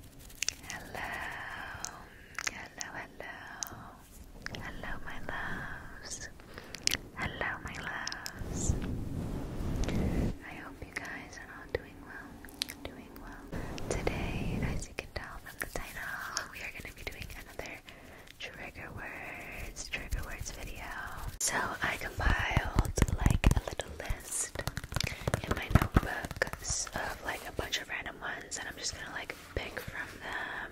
Hello, hello, hello, hello, my loves. Hello, my loves. I hope you guys are all doing well. Doing well. Today, as you can tell from the title, we are going to be doing another trigger words, trigger words video. So I compiled like a little in my notebook like a bunch of random ones, and I'm just gonna like pick from them.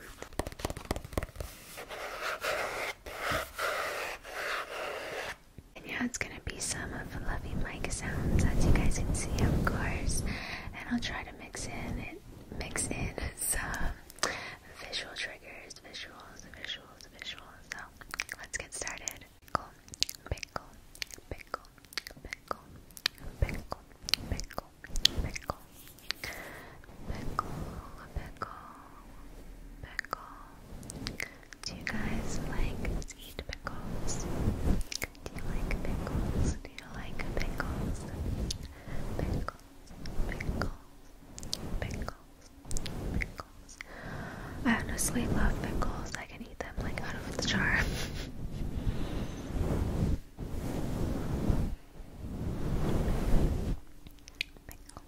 And yeah, it's gonna be some of the Mike sounds, as you guys can see, of course. And I'll try to mix in it, mix in some visual triggers, visuals, visuals, visuals. So let's get started. Pickle, pickle, pickle, pickle, pickle, pickle, pickle, pickle, pickle, pickle. Do you guys like eat pickles? Do you like pickles? Do you like pickles? Pickles, pickles, pickles, pickles, I honestly love pickles. I can eat them like out of the jar. pickle,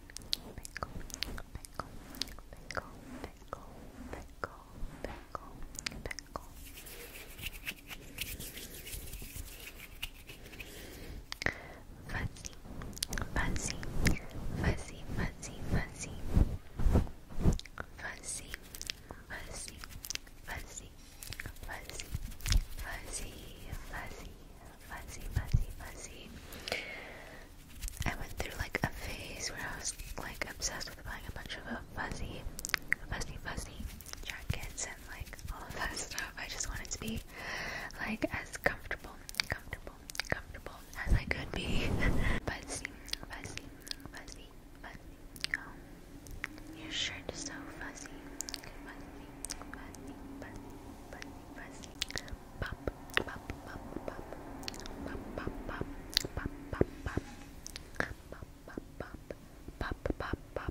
pickle, pickle, pickle, pickle, pickle, pickle, pickle. Fuzzy, fuzzy, fuzzy, fuzzy, fuzzy fuzzy, fuzzy, fuzzy, fuzzy, fuzzy, fuzzy, fuzzy, fuzzy, fuzzy. I went through like a phase where I was like obsessed with buying a bunch of fuzzy, fuzzy, fuzzy jackets and like all of that stuff. I just wanted to be like as comfortable, comfortable comfortable, as I could be. fuzzy, fuzzy, fuzzy, fuzzy. Oh, your shirt is so fuzzy. Fuzzy, fuzzy, fuzzy, fuzzy, fuzzy. Pop, pop, pop, pop, pop, pop, pop, pop, pop, pop. Pop, pop, pop, pop, pop, pop, pop, pop, pop.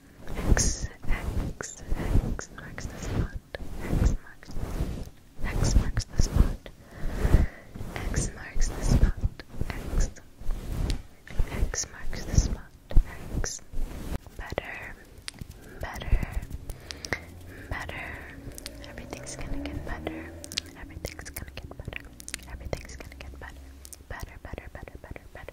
X, X, X marks the spot. X marks the spot. X marks the spot. X marks the spot. X. X marks the spot. X. Better. Better. Better. Everything's gonna get better. Everything's gonna get better. Everything's gonna get better. Better, better, better, better, better.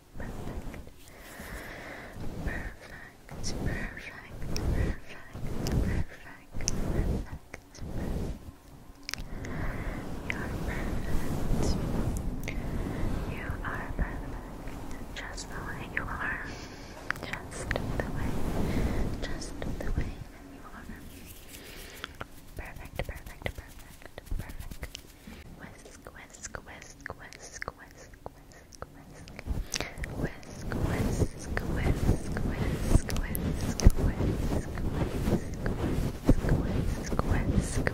perfect, perfect, perfect, perfect, perfect, perfect. You are perfect. You are perfect. Just the way you are. Just the way. Just the way you are. Perfect, perfect, perfect, perfect. Whisk, whisk, whisk, whisk, whisk, whisk, whisk. Whisk, whisk, whisk, whisk, whisk, whisk, whisk, whisk, whisk, whisk, whisk. Whisk, whisk,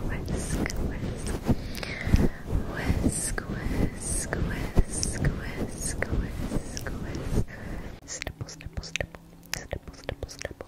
whisk, whisk, whisk, whisk. Stipple, stipple, stipple, stipple, stipple, stipple.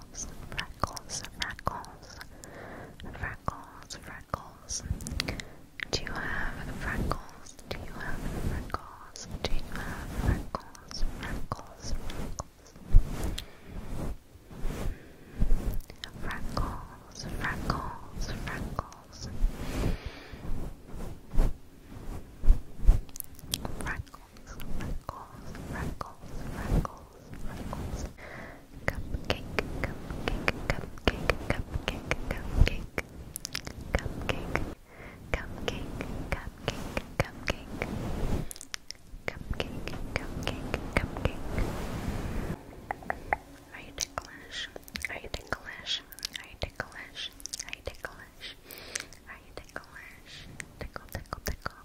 freckles, freckles, freckles, freckles, Do you have freckles? Do you have freckles? Do you have freckles? Freckles, freckles. Freckles, freckles, freckles. Freckles, freckles, Are you ticklish? Are you ticklish? Are you ticklish? Are you ticklish? Are you ticklish? Tickle, tickle, tickle.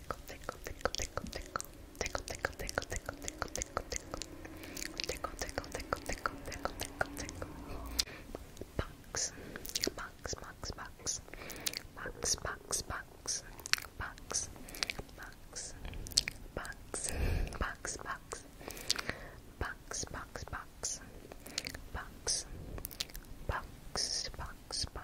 tickle, tickle, tickle, tickle, tickle, tickle, tickle, tickle, tickle, tickle, tickle, tickle, tickle, tickle, tickle, tickle, tickle, tickle, tickle, box, box, box, box, box, box, box, box, box, box, box, box. Box, box, box, box, box, box, box,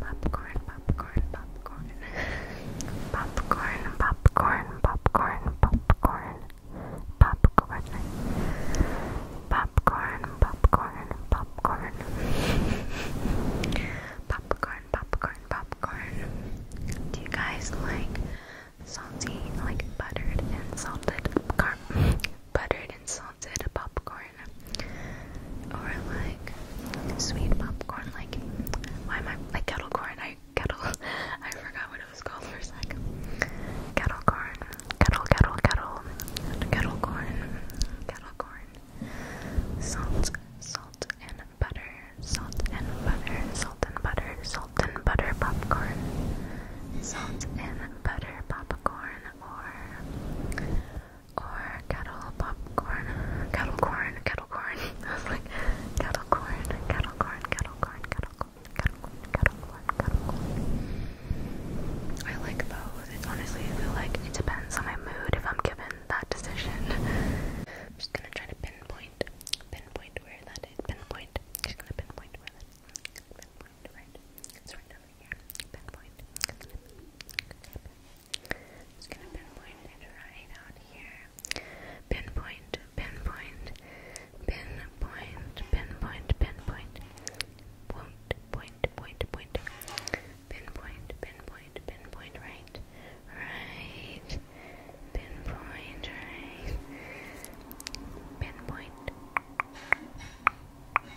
popcorn, popcorn, popcorn, popcorn, popcorn, popcorn, popcorn, popcorn, popcorn, popcorn, popcorn, popcorn, Do you guys like salty, like buttered and salted popcorn? Buttered and salted popcorn or like sweet popcorn, like why am I like kettle corn? I kettle I forgot what it was called for a second. Kettle corn, kettle, kettle, kettle, kettle corn, kettle corn, salt, salt and butter, salt and butter, salt and butter, salt and butter popcorn, salt and butter popcorn, or or kettle popcorn, kettle corn, kettle corn. I was like, kettle corn, kettle corn, kettle corn, kettle corn, kettle corn, kettle corn, kettle corn. I like both. It's honestly, I feel like it depends on my mood if I'm given that decision. I'm just gonna try to pinpoint, pinpoint where that is. Pinpoint. Just gonna pinpoint where that is. Pinpoint right. It's right over here. Pinpoint. Pinpoint just gonna pinpoint it right out here. Pinpoint, pinpoint, pinpoint, pinpoint, pinpoint, point, point, point, point, pinpoint, pinpoint, pinpoint, right, right, pinpoint, right, pinpoint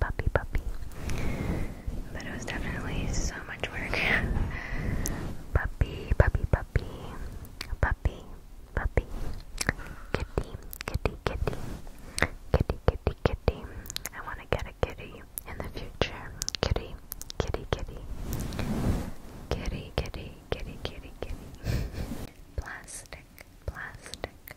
puppy, puppy. But it was definitely so much work. puppy, puppy, puppy, puppy, puppy, kitty, kitty, kitty, kitty, kitty, kitty. I want to get a kitty in the future. Kitty, kitty, kitty, kitty, kitty, kitty, kitty, kitty. plastic, plastic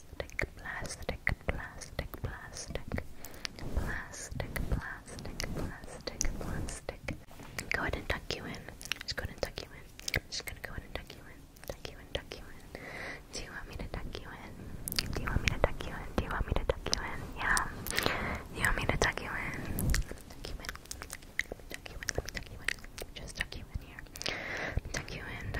plastic, plastic, plastic, plastic, plastic, plastic, plastic, plastic. Go ahead and tuck you in. Just go ahead and tuck you in. Just gonna go ahead and tuck you in. Tuck you in, tuck you in. Do you want me to tuck you in? Do you want me to tuck you in? Do you want me to tuck you in? Yeah. You want me to tuck you in? Tuck you in. Tuck you in. Let me tuck you in. Just tuck you in here. Tuck you in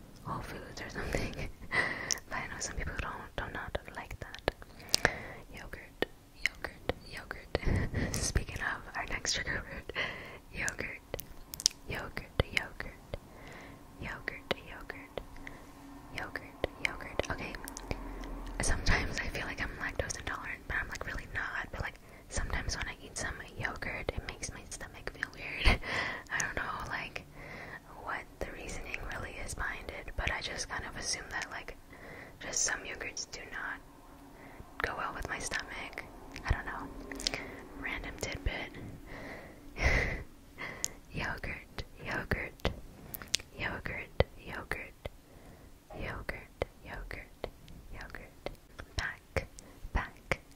Whole Foods or something. but I know some people don't do not like that. Yogurt, yogurt, yogurt. Speaking of our next trigger word, yogurt, yogurt, yogurt, yogurt, yogurt, yogurt, yogurt. Okay. Sometimes I feel like I'm lactose intolerant, but I'm like really not. But like sometimes when I eat some yogurt, it makes my stomach feel weird. I don't know, like, what the reasoning really is behind it, but I just kind of assume that, like, just some yogurts do not go well with my stomach. I don't know. Random tidbit. yogurt, yogurt, yogurt, yogurt, yogurt, yogurt, yogurt. Back, back,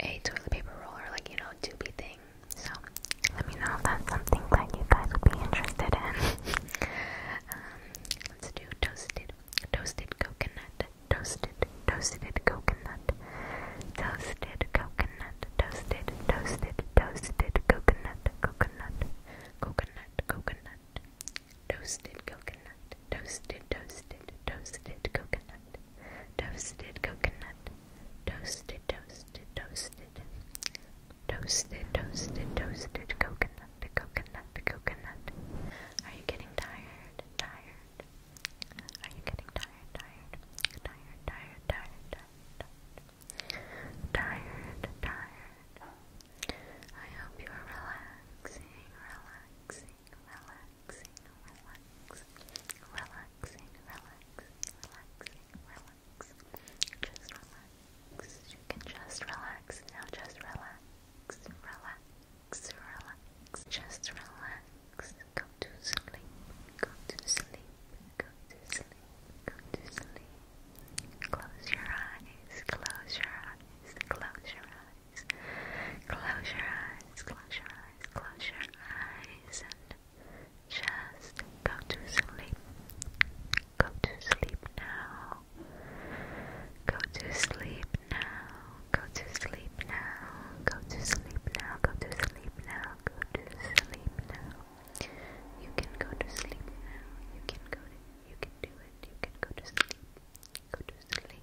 a toilet paper roll or like you know tubey thing. So let me know if that's something that you guys would be interested in. um, let's do toasted, toasted coconut, toasted, toasted coconut, toasted coconut, toasted, toasted, toasted coconut, coconut, coconut, coconut, toasted coconut, toasted, toasted, toasted coconut toasted coconut, toasted, toasted, toasted, toasted, toasted, toasted coconut, coconut, coconut. Are you getting tired? Tired? Are you getting Tired? Tired? Tired? Tired? Tired? Tired? Tired? tired. I hope you are relaxing, relaxing, relaxing, relaxing, relaxing, relaxing, relaxing, just relax, you can just relax, now just relax, relax, relax, just relax, go to sleep, go to sleep, go to sleep, go to sleep, close your eyes, close your eyes, close your eyes eyes. Close your eyes, close your eyes, close your eyes, and just go to sleep. Go to sleep now. Go to sleep now. Go to sleep now. Go to sleep now. Go to sleep now. Go to sleep now. You can go to sleep now. You can go to you can do it. You can go to sleep. Go to sleep.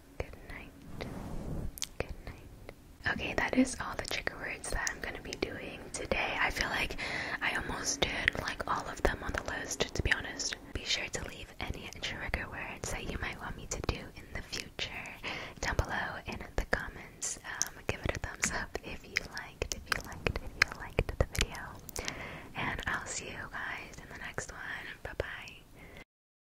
Good night. Good night. Okay, that is all the trigger words that I'm gonna be doing today. I feel like I almost did like all of them on the list, to be honest. Be sure to leave any trigger words that you might want me to do in the future down below in the comments. Um, give it a thumbs up if you liked, if you liked, if you liked the video. And I'll see you guys in the next one. Bye bye.